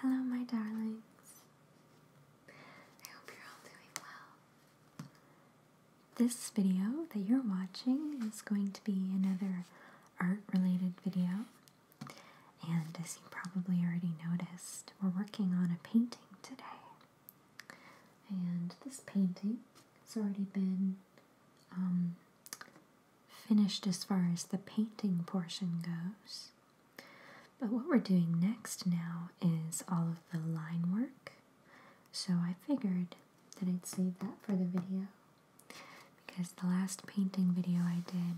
Hello, my darlings. I hope you're all doing well. This video that you're watching is going to be another art related video. And as you probably already noticed, we're working on a painting today. And this painting has already been um, finished as far as the painting portion goes. But what we're doing next now is all of the line work. So I figured that I'd save that for the video because the last painting video I did,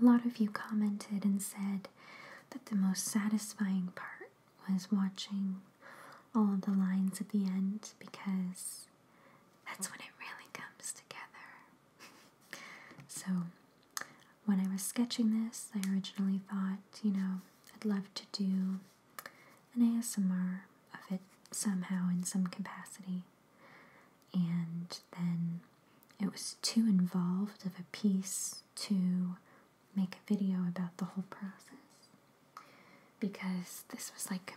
a lot of you commented and said that the most satisfying part was watching all of the lines at the end because that's when it really comes together. So, when I was sketching this, I originally thought, you know, I'd love to do an ASMR of it somehow in some capacity. And then it was too involved of a piece to make a video about the whole process. Because this was like,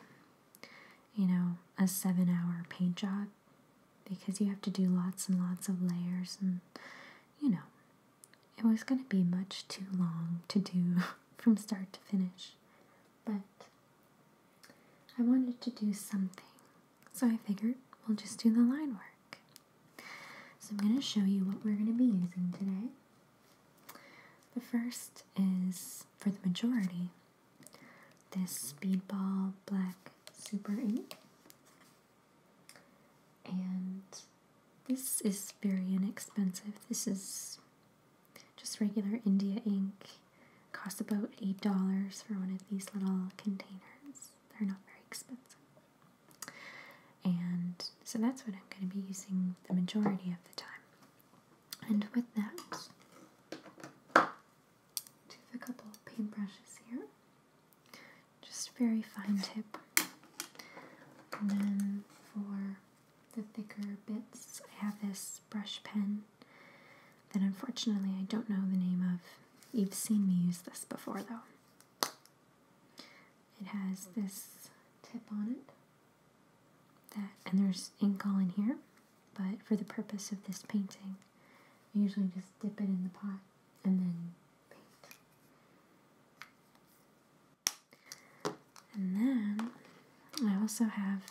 you know, a seven hour paint job because you have to do lots and lots of layers and you know it was going to be much too long to do from start to finish but I wanted to do something so I figured we'll just do the line work so I'm going to show you what we're going to be using today the first is for the majority this Speedball Black Super Ink. And this is very inexpensive. This is just regular India ink. Costs about $8 for one of these little containers. They're not very expensive. And so that's what I'm going to be using the majority of the time. And with that, a couple of paintbrushes here. Just very fine tip. And then for the thicker bits, I have this brush pen that unfortunately I don't know the name of. You've seen me use this before though. It has this tip on it. That and there's ink all in here. But for the purpose of this painting, I usually just dip it in the pot and then paint. And then I also have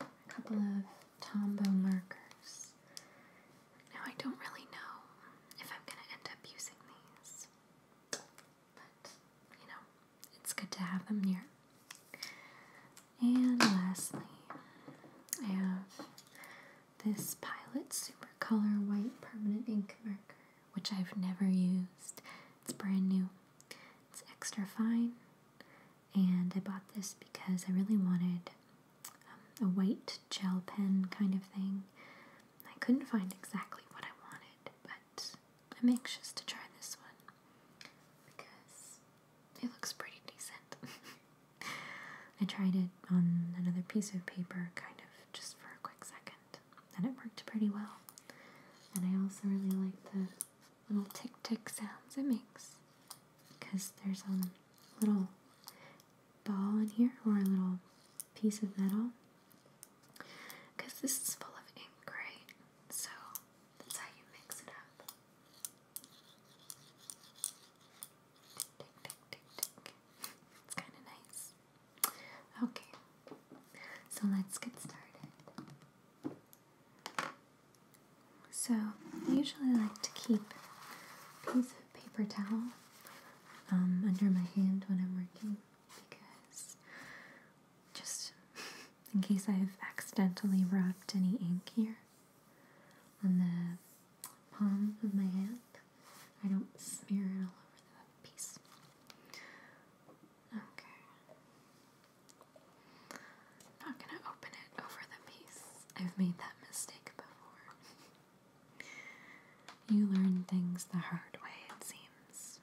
a couple of Tombow markers. Now I don't really know if I'm going to end up using these, but you know, it's good to have them near. And lastly, I have this Pilot Super Color White Permanent Ink Marker, which I've never used. It's brand new. It's extra fine, and I bought this because I really wanted um, a white gel pen kind of thing. I couldn't find exactly what I wanted, but I'm anxious to try this one because it looks pretty decent. I tried it on another piece of paper, kind of just for a quick second, and it worked pretty well. And I also really like the little tick tick sounds it makes because there's a little ball in here or a little piece of metal because this is full of ink, right? So that's how you mix it up. Tick, tick, tick, tick. It's kind of nice. Okay, so let's get started. So, I usually like to keep a piece of paper towel um, under my hand when I'm working because just in case I've accidentally rubbed any ink here, on the palm of my hand. I don't smear it all over the piece. Okay. not gonna open it over the piece. I've made that mistake before. you learn things the hard way, it seems.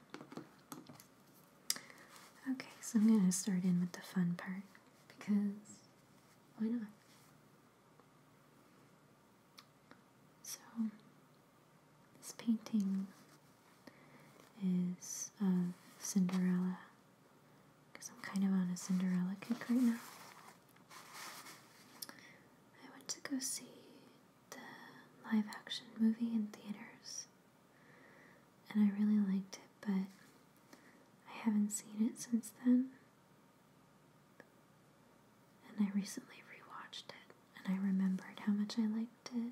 Okay, so I'm gonna start in with the fun part because why not? So, this painting is of Cinderella because I'm kind of on a Cinderella kick right now. I went to go see the live action movie in theaters and I really liked it, but I haven't seen it since then. And I recently rewatched it, and I remembered how much I liked it.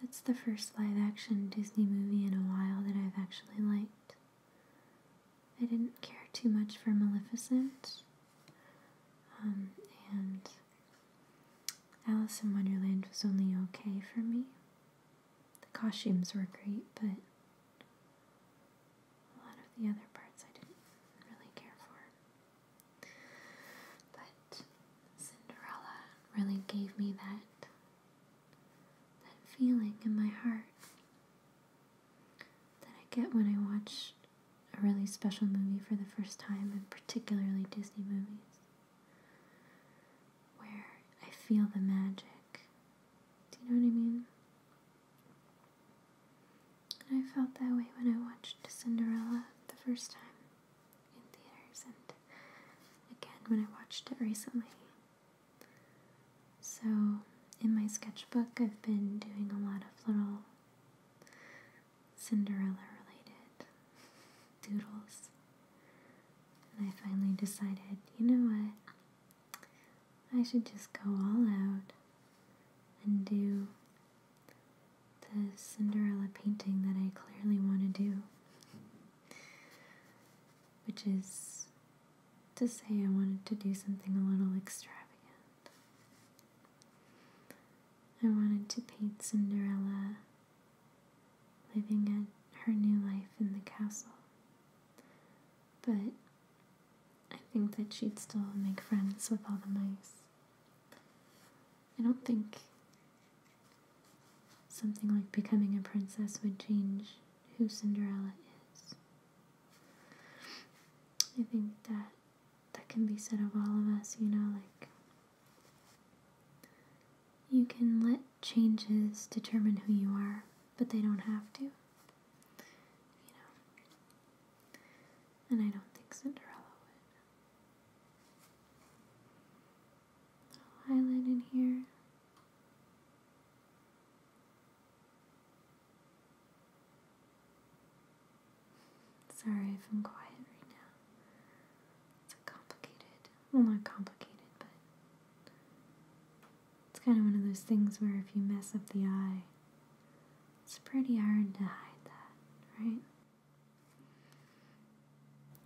That's the first live action Disney movie in a while that I've actually liked. I didn't care too much for Maleficent. Um, and Alice in Wonderland was only okay for me. The costumes were great, but a lot of the other parts I didn't really care for. But Cinderella really gave me that that feeling in my heart that I get when I watch a really special movie for the first time, and particularly Disney movies where I feel the magic. Do you know what I mean? I felt that way when I watched Cinderella the first time in theaters and again when I watched it recently. So, in my sketchbook, I've been doing a lot of little Cinderella related Doodles. And I finally decided, you know what? I should just go all out and do the Cinderella painting that I clearly want to do. Which is to say, I wanted to do something a little extravagant. I wanted to paint Cinderella living at her new life in the castle. But I think that she'd still make friends with all the mice. I don't think something like becoming a princess would change who Cinderella is. I think that that can be said of all of us, you know, like you can let changes determine who you are, but they don't have to. You know. And I don't think Cinderella would. Little in here. Sorry if I'm quiet right now. It's complicated, well, not complicated, but it's kind of one of those things where if you mess up the eye, it's pretty hard to hide that, right?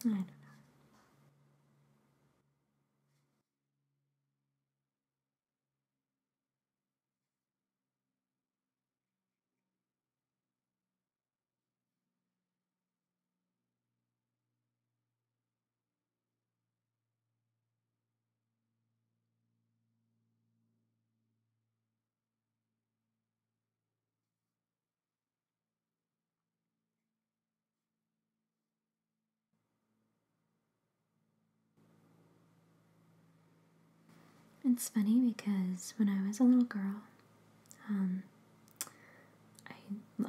I don't know. It's funny because when I was a little girl, um, I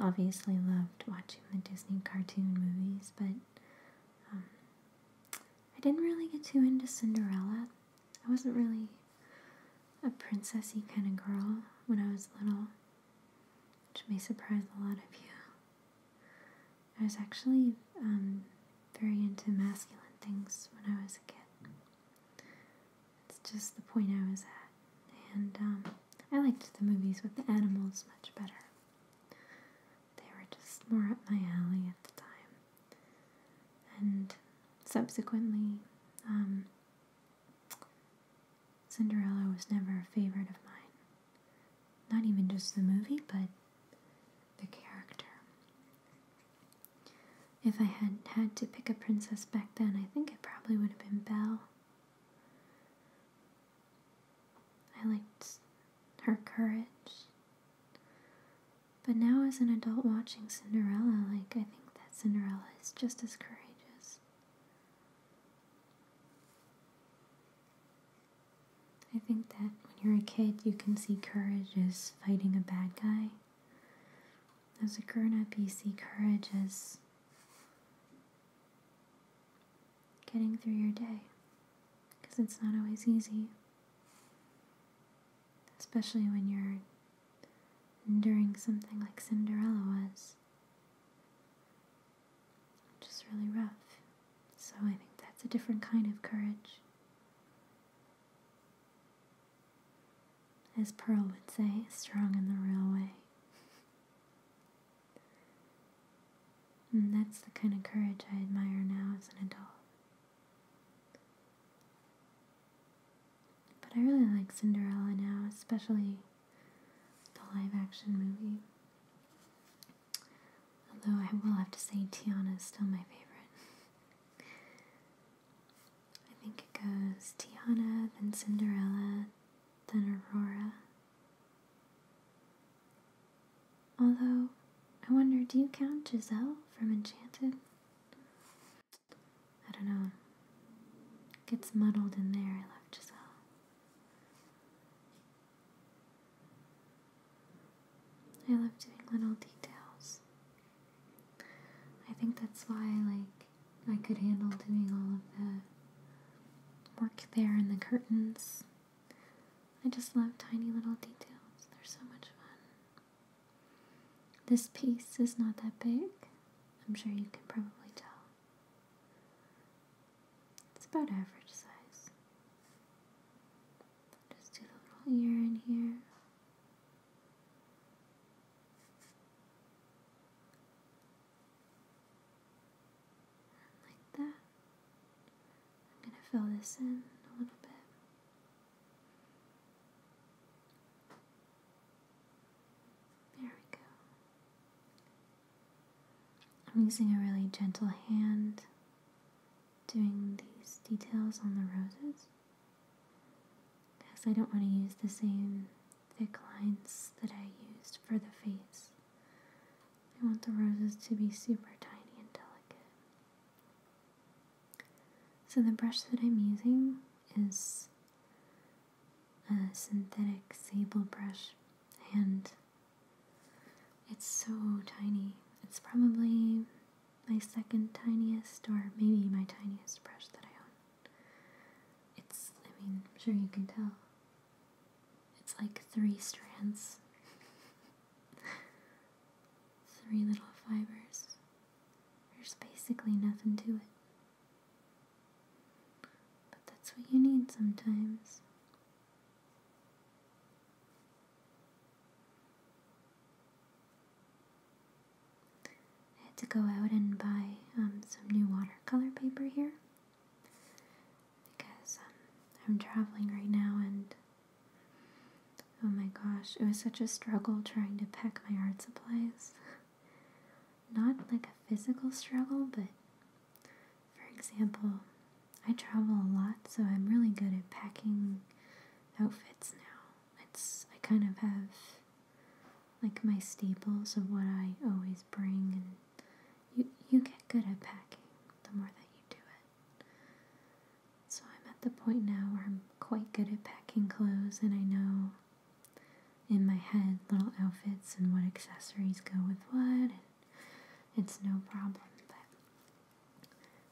obviously loved watching the Disney cartoon movies, but um, I didn't really get too into Cinderella. I wasn't really a princessy kind of girl when I was little, which may surprise a lot of you. I was actually um, very into masculine things when I was a kid. It's just the point I was at. And um, I liked the movies with the animals much better. They were just more up my alley at the time. And subsequently, um, Cinderella was never a favorite of mine. Not even just the movie, but the character. If I had had to pick a princess back then, I think it probably would have been Belle. I liked her courage. But now, as an adult watching Cinderella, like, I think that Cinderella is just as courageous. I think that when you're a kid, you can see courage as fighting a bad guy. As a grown up, you see courage as getting through your day because it's not always easy, especially when you're enduring something like Cinderella was. Just really rough. So I think that's a different kind of courage as Pearl would say, strong in the real way. And that's the kind of courage I admire now as an adult. But I really like Cinderella now, especially the live action movie. Although I will have to say Tiana is still my favorite. I think it goes Tiana, then Cinderella, then Aurora. Although, I wonder, do you count Giselle from Enchanted? I don't know. gets muddled in there. I love Giselle. I love doing little details. I think that's why like I could handle doing all of the work there in the curtains. I just love tiny little details. They're so much fun. This piece is not that big. I'm sure you can probably tell. It's about average size. Just do the little ear in here like that. I'm going to fill this in a little bit. There we go. I'm using a really gentle hand doing these details on the roses because I don't want to use the same thick lines that I used for the face. I want the roses to be super tiny and delicate. So the brush that I'm using is a synthetic sable brush and it's so tiny. It's probably my second tiniest or maybe my tiniest brush that I own. It's, I mean, I'm sure you can tell. It's like three strands, three little fibers. There's basically nothing to it. But that's what you need sometimes. I had to go out and buy um, some new watercolor paper here because um, I'm traveling right now and oh my gosh, it was such a struggle trying to pack my art supplies. Not like a physical struggle, but for example, I travel a lot, so I'm really good at packing outfits now it's I kind of have like my staples of what I always bring and you you get good at packing the more that you do it. So I'm at the point now where I'm quite good at packing clothes and I know in my head little outfits and what accessories go with what it's no problem. But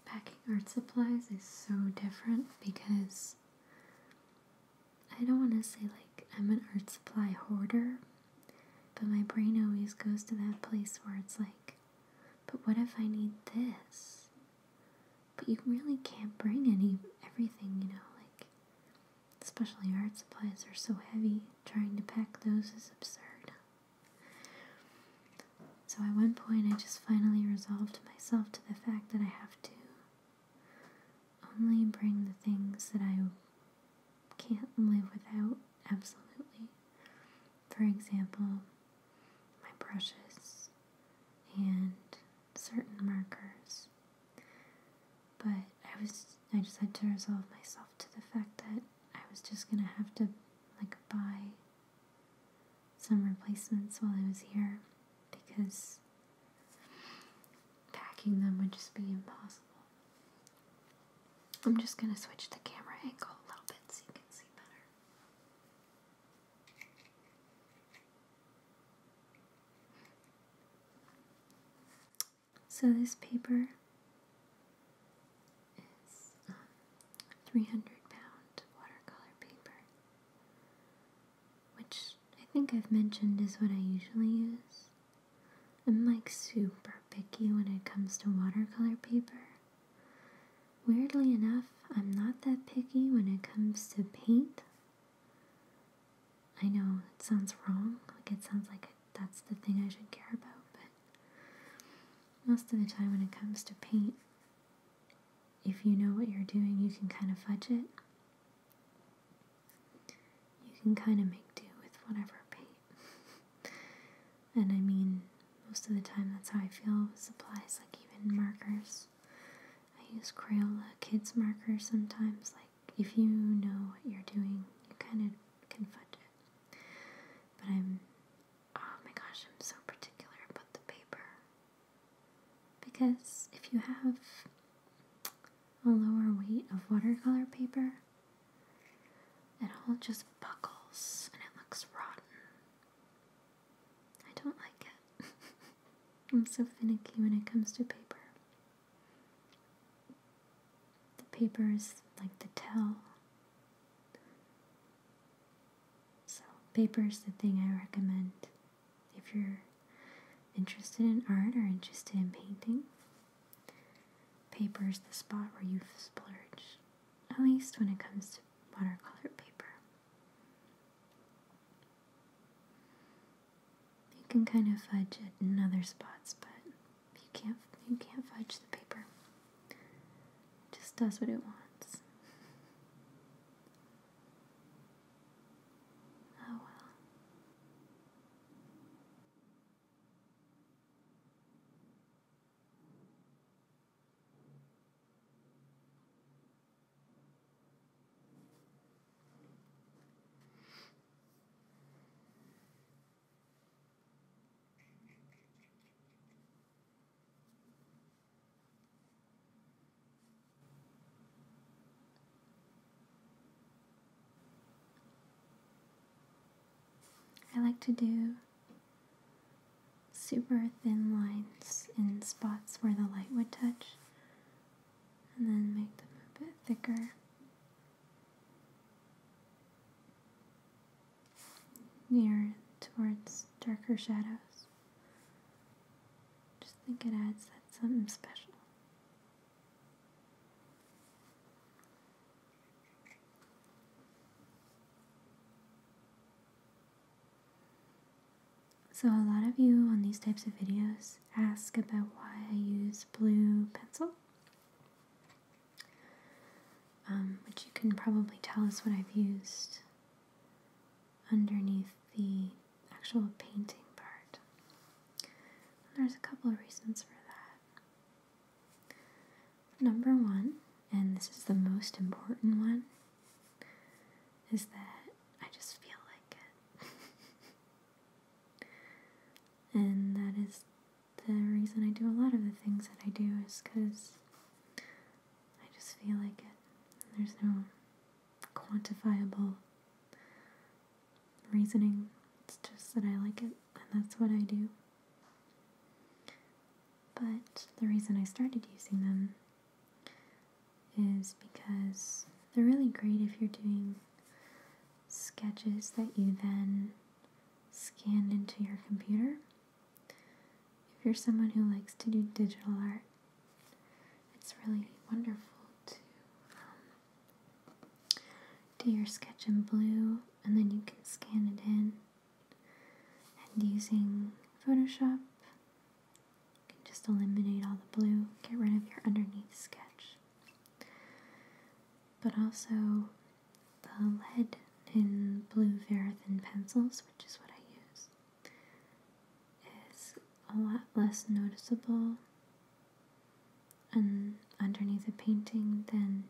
packing art supplies is so different because I don't want to say like I'm an art supply hoarder, but my brain always goes to that place where it's like, but what if I need this? But you really can't bring any everything, you know, like especially art supplies are so heavy. Trying to pack those is absurd. So at one point I just finally resolved myself to the fact that I have to only bring the things that I can't live without, absolutely. For example, my brushes and certain markers. But I was I just had to resolve myself to the fact that I was just gonna have to like buy some replacements while I was here because packing them would just be impossible. I'm just going to switch the camera angle a little bit so you can see better. So this paper is um, 300 pound watercolor paper which I think I've mentioned is what I usually use. I'm like super picky when it comes to watercolor paper. Weirdly enough, I'm not that picky when it comes to paint. I know it sounds wrong, like it sounds like that's the thing I should care about, but most of the time when it comes to paint, if you know what you're doing, you can kind of fudge it you can kind of make do with whatever paint. and I mean, most of the time that's how I feel with supplies, like even markers. I use Crayola kids markers sometimes, like if you know what you're doing, you kind of can fudge it. But I'm, oh my gosh, I'm so particular about the paper. Because if you have a lower weight of watercolor paper, it all just buckles and it looks rotten. I don't like it. I'm so finicky when it comes to paper. The paper is like the tell. So, paper is the thing I recommend if you're interested in art or interested in painting, paper is the spot where you splurge, at least when it comes to watercolor paper. You can kind of fudge it in other spots, but you can't you can't fudge the paper. It just does what it wants. Oh well. I like to do super thin lines in spots where the light would touch and then make them a bit thicker. Near towards darker shadows. Just think it adds that something special. So a lot of you on these types of videos ask about why I use blue pencil, um, which you can probably tell is what I've used underneath the actual painting part. there's a couple of reasons for that. Number one, and this is the most important one, is that I just feel like it. and that is the reason I do a lot of the things that I do is because I just feel like it. There's no quantifiable reasoning. It's just that I like it, and that's what I do. But the reason I started using them is because they're really great if you're doing sketches that you then scan into your computer. If you're someone who likes to do digital art, it's really wonderful to um, do your sketch in blue and then you can scan it in. And using Photoshop, you can just eliminate all the blue, get rid of your underneath sketch. But also, the lead in blue Verithin pencils, which is what I use, is a lot less noticeable and underneath a painting than,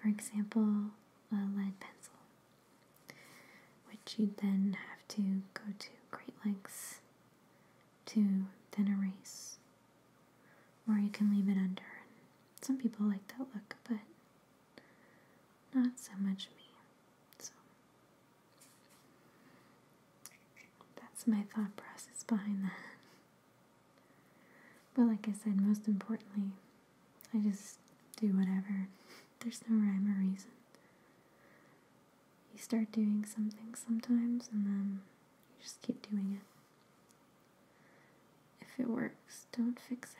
for example, a lead pencil, which you then have to go to great lengths to then erase, or you can leave it under. some people like that look, but not so much me. So that's my thought process behind that. But like I said, most importantly, I just do whatever. There's no rhyme or reason. You start doing something sometimes and then you just keep doing it. If it works, don't fix it.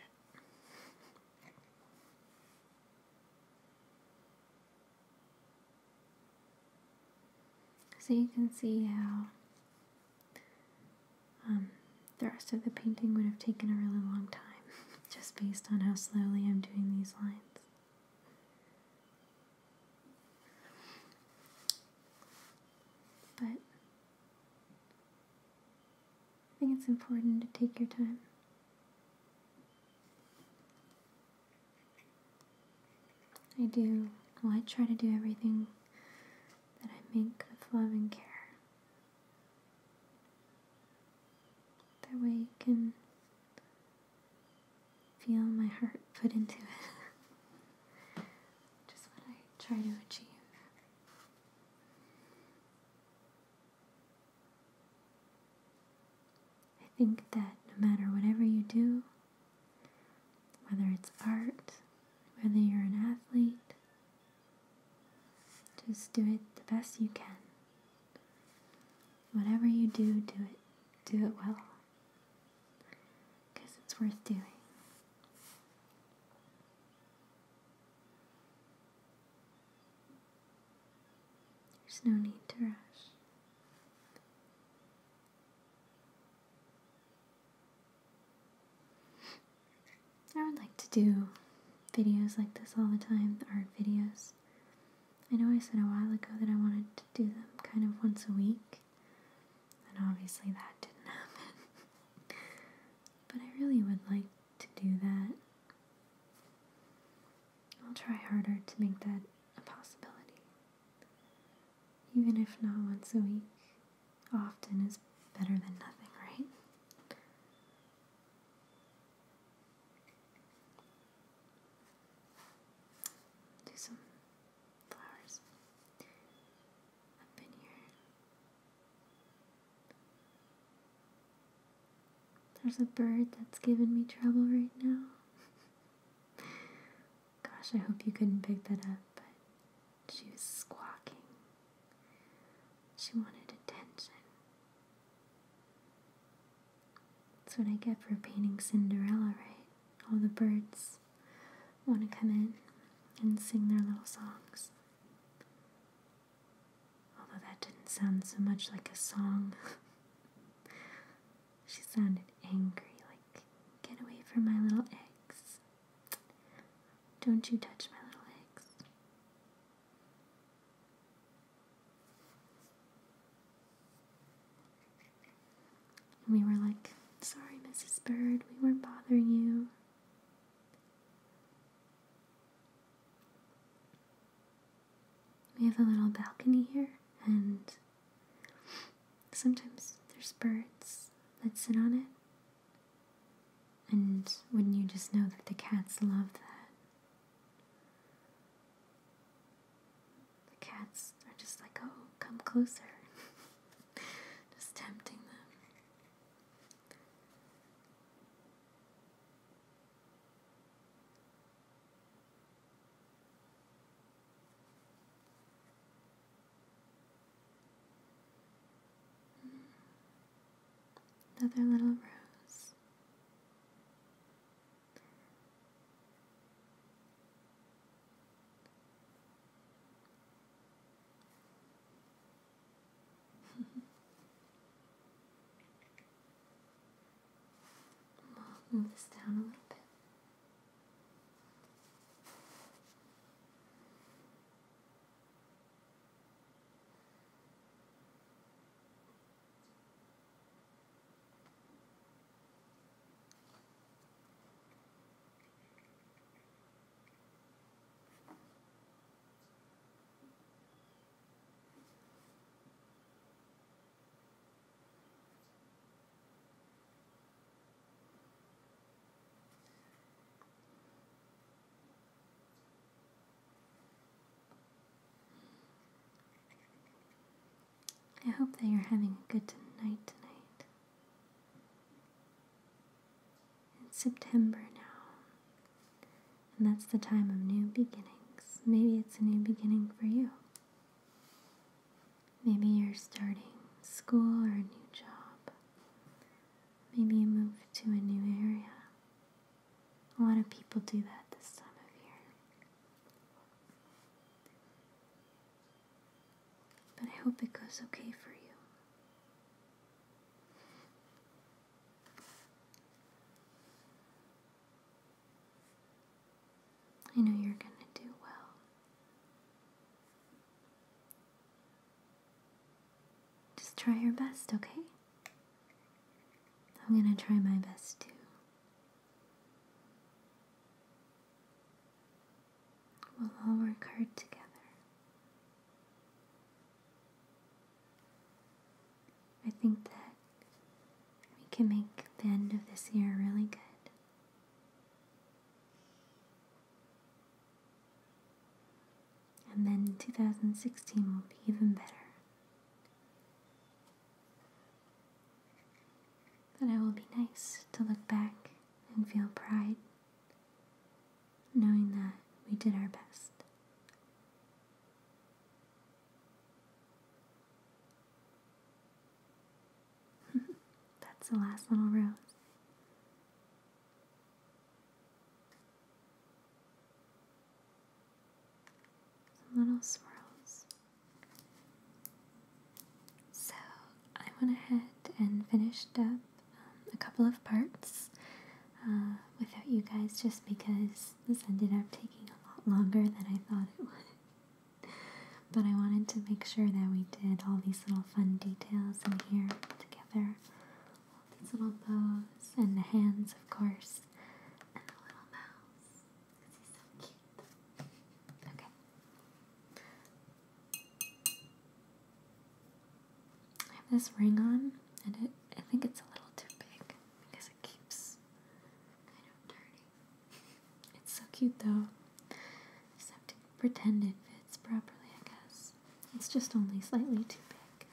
So you can see how um, the rest of the painting would have taken a really long time just based on how slowly I'm doing these lines. But I think it's important to take your time. I do, well, I try to do everything that I make with love and care. That way you can feel my heart put into it. Just what I try to achieve. I think that no matter whatever you do, whether it's art, whether you're an athlete, just do it the best you can. Whatever you do, do it. Do it well. Because it's worth doing. There's no need to rush. I would like to do videos like this all the time, art videos. I know I said a while ago that I wanted to do them kind of once a week, and obviously that didn't happen. but I really would like to do that. I'll try harder to make that a possibility. Even if not once a week, often is better than nothing, right? Do some flowers up in here. There's a bird that's giving me trouble right now. Gosh, I hope you couldn't pick that up, but she was squawking. She wanted attention. That's what I get for painting Cinderella, right? All the birds want to come in and sing their little songs. Although that didn't sound so much like a song. she sounded angry, like, Get away from my little eggs. Don't you touch my little eggs. we were like, Sorry, Mrs. Bird, we weren't bothering you. We have a little balcony here, and sometimes there's birds that sit on it. And wouldn't you just know that the cats love that? The cats are just like, oh, come closer. just tempting them. Another little rose. Move this down a little bit. I hope that you're having a good night tonight. It's September now. And that's the time of new beginnings. Maybe it's a new beginning for you. Maybe you're starting school or a new job. Maybe you move to a new area. A lot of people do that this time of year. But I hope it goes okay for you. I know you're going to do well. Just try your best, okay? I'm going to try my best too. We'll all work hard together. I think that we can make the end of this year really good. And then 2016 will be even better. But it will be nice to look back and feel pride knowing that we did our best. That's the last little rose. little swirls. So I went ahead and finished up um, a couple of parts uh, without you guys just because this ended up taking a lot longer than I thought it would. But I wanted to make sure that we did all these little fun details in here together. these little bows and the hands, of course, and the little mouse. This so cute. Okay. I have this ring on, and it, I think it's a little too big because it keeps kind of dirty. It's so cute though. Just have to pretend it fits properly, I guess. It's just only slightly too big.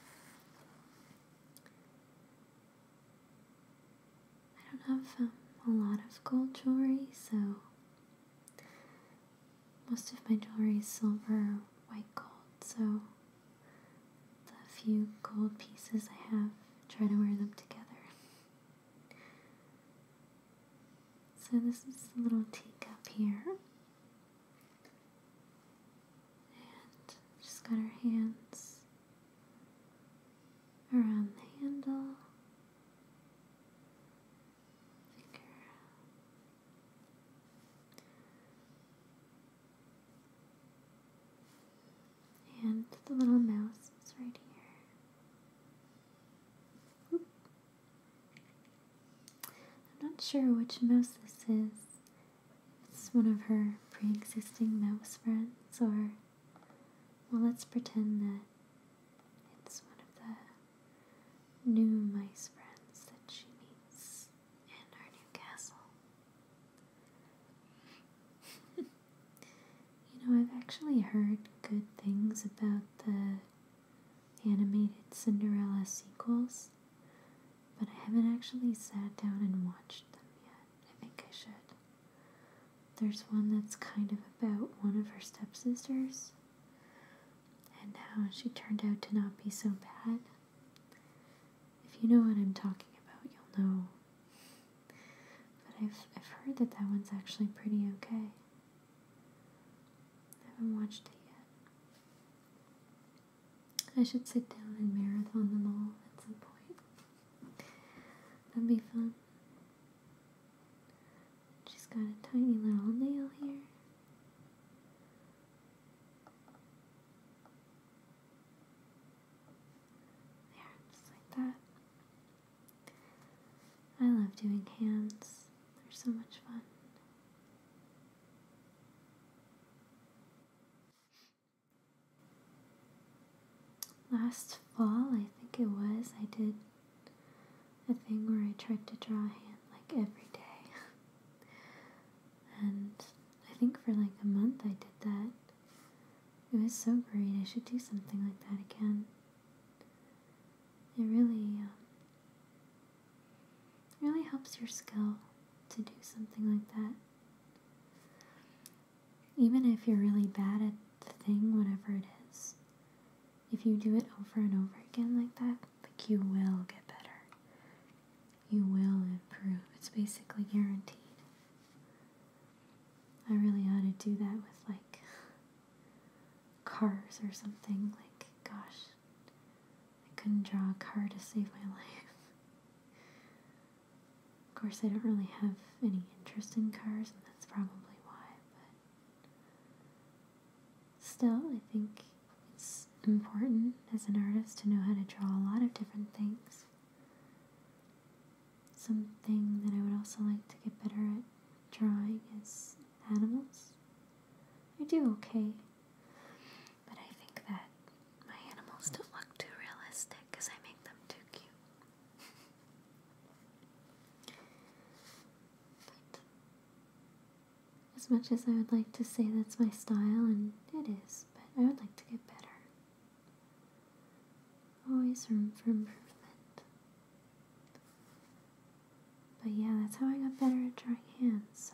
I don't have um, a lot of gold jewelry, so most of my jewelry is silver, white gold, so the few gold pieces I have, try to wear them together. So, this is a little teacup here. And just got our hands around the handle. Finger. And the little mouse is right here. I'm not sure which mouse this is. It's one of her pre existing mouse friends, or, well, let's pretend that it's one of the new mice friends that she meets in her new castle. you know, I've actually heard good things about the animated Cinderella sequels, but I haven't actually sat down and watched them yet. I think I should. There's one that's kind of about one of her stepsisters and how she turned out to not be so bad. If you know what I'm talking about, you'll know. But I've, I've heard that that one's actually pretty okay. I haven't watched it yet. I should sit down and marathon them all at some point. That'd be fun. She's got a tiny little nail here. There, just like that. I love doing hands, they're so much fun. Last fall, I think it was, I did a thing where I tried to draw a hand like every day. and I think for like a month I did that. It was so great. I should do something like that again. It really, um, really helps your skill to do something like that. Even if you're really bad at the thing, whatever it is, if you do it over and over again like that, like you will get better you will improve. It's basically guaranteed. I really ought to do that with like cars or something. Like, gosh, I couldn't draw a car to save my life. Of course, I don't really have any interest in cars, and that's probably why, but still, I think it's important as an artist to know how to draw a lot of different things. Something that I would also like to get better at drawing is animals. I do okay, but I think that my animals don't look too realistic because I make them too cute. As much as I would like to say that's my style, and it is, but I would like to get better. Always room for improvement. But yeah, that's how I got better at drawing hands, so.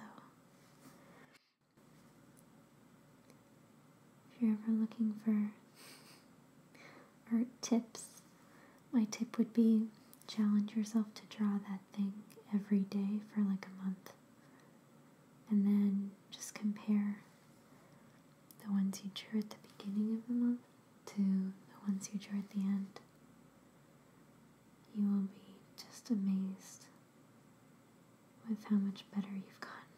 If you're ever looking for art tips, my tip would be challenge yourself to draw that thing every day for like a month and then just compare the ones you drew at the beginning of the month to the ones you drew at the end. You will be just amazed with how much better you've gotten.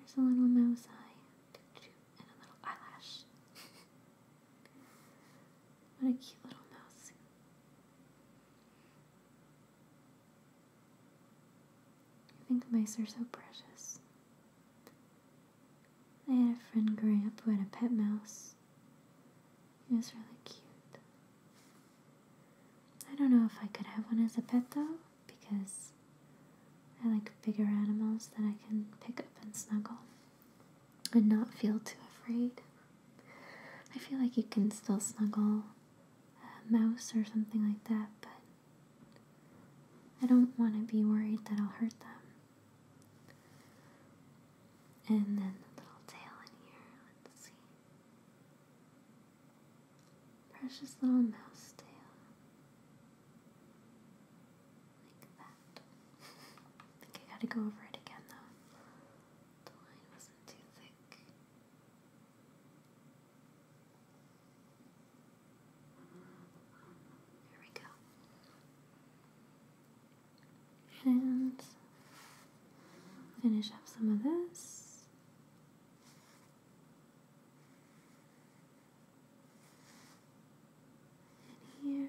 There's a little mouse eye and a little eyelash. what a cute little mouse. I think mice are so precious. I had a friend growing up who had a pet mouse. It was really cute. I don't know if I could have one as a pet though, because I like bigger animals that I can pick up and snuggle and not feel too afraid. I feel like you can still snuggle a mouse or something like that, but I don't want to be worried that I'll hurt them. And then the little tail in here. Let's see. Precious little mouse tail. Like that. I think I gotta go over it again though. The line wasn't too thick. There we go. And finish up some of this. And here.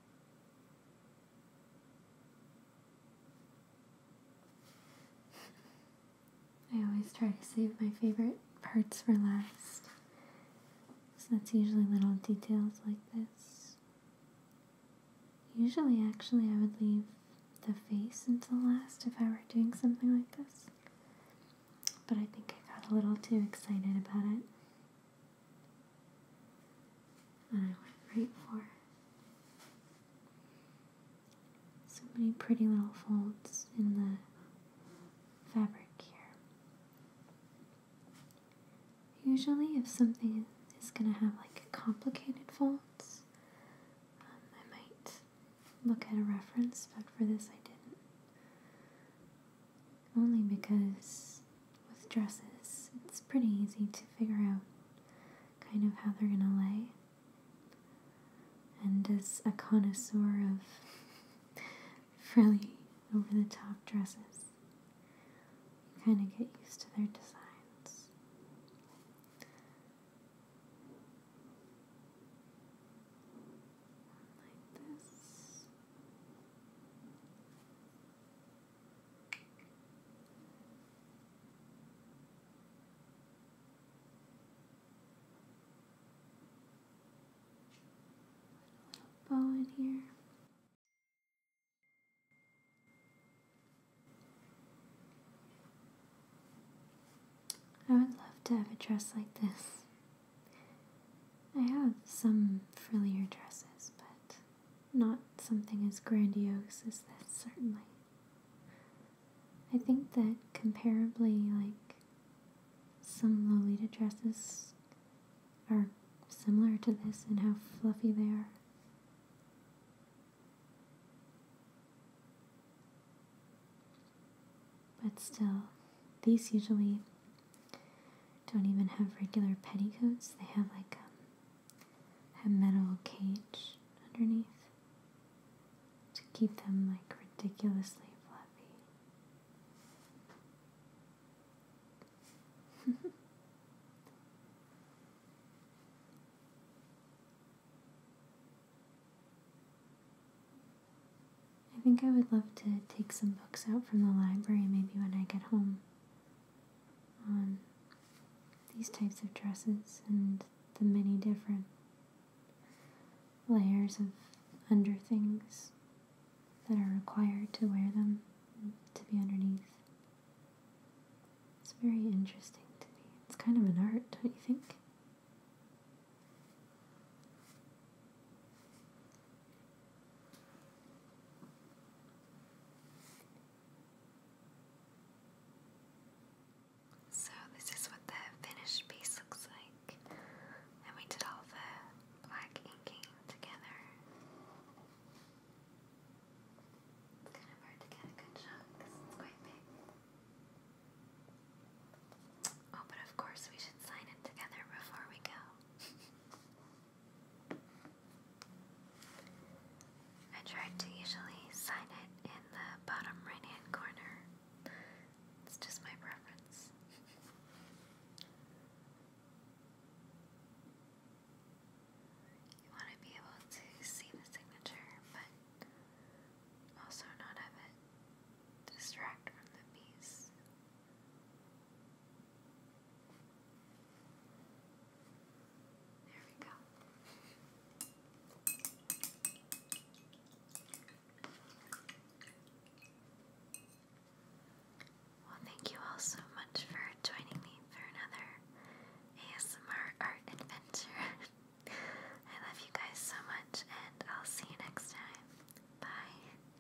I always try to save my favorite parts for last. So that's usually little details like this. Usually, actually, I would leave the face until last if I were doing something like this. But I think I got a little too excited about it. And I went right for So many pretty little folds in the fabric here. Usually, if something is going to have like complicated folds, um, I might look at a reference, but for this I didn't only because with dresses it's pretty easy to figure out kind of how they're going to lay. And as a connoisseur of frilly over the top dresses, you kind of get used to their designs. Bow in here. I would love to have a dress like this. I have some frillier dresses, but not something as grandiose as this, certainly. I think that comparably, like, some Lolita dresses are similar to this in how fluffy they are. But still, these usually don't even have regular petticoats. They have like um, a, metal cage underneath to keep them like ridiculously fluffy. I think I would love to take some books out from the library maybe when I get home on these types of dresses and the many different layers of under things that are required to wear them to be underneath. It's very interesting to me. It's kind of an art, don't you think? So, this is what the finished piece looks like, and we did all the black inking together. It's kind of hard to get a good shot because it's quite big. Oh, but of course, we should sign it together before we go. I try to usually sign it in the bottom right hand corner. It's just my preference. you want to be able to see the signature, but also not have it distract from the piece. There we go. Well, thank you all so much for joining me for another ASMR art adventure. I love you guys so much, and I'll see you next time. Bye.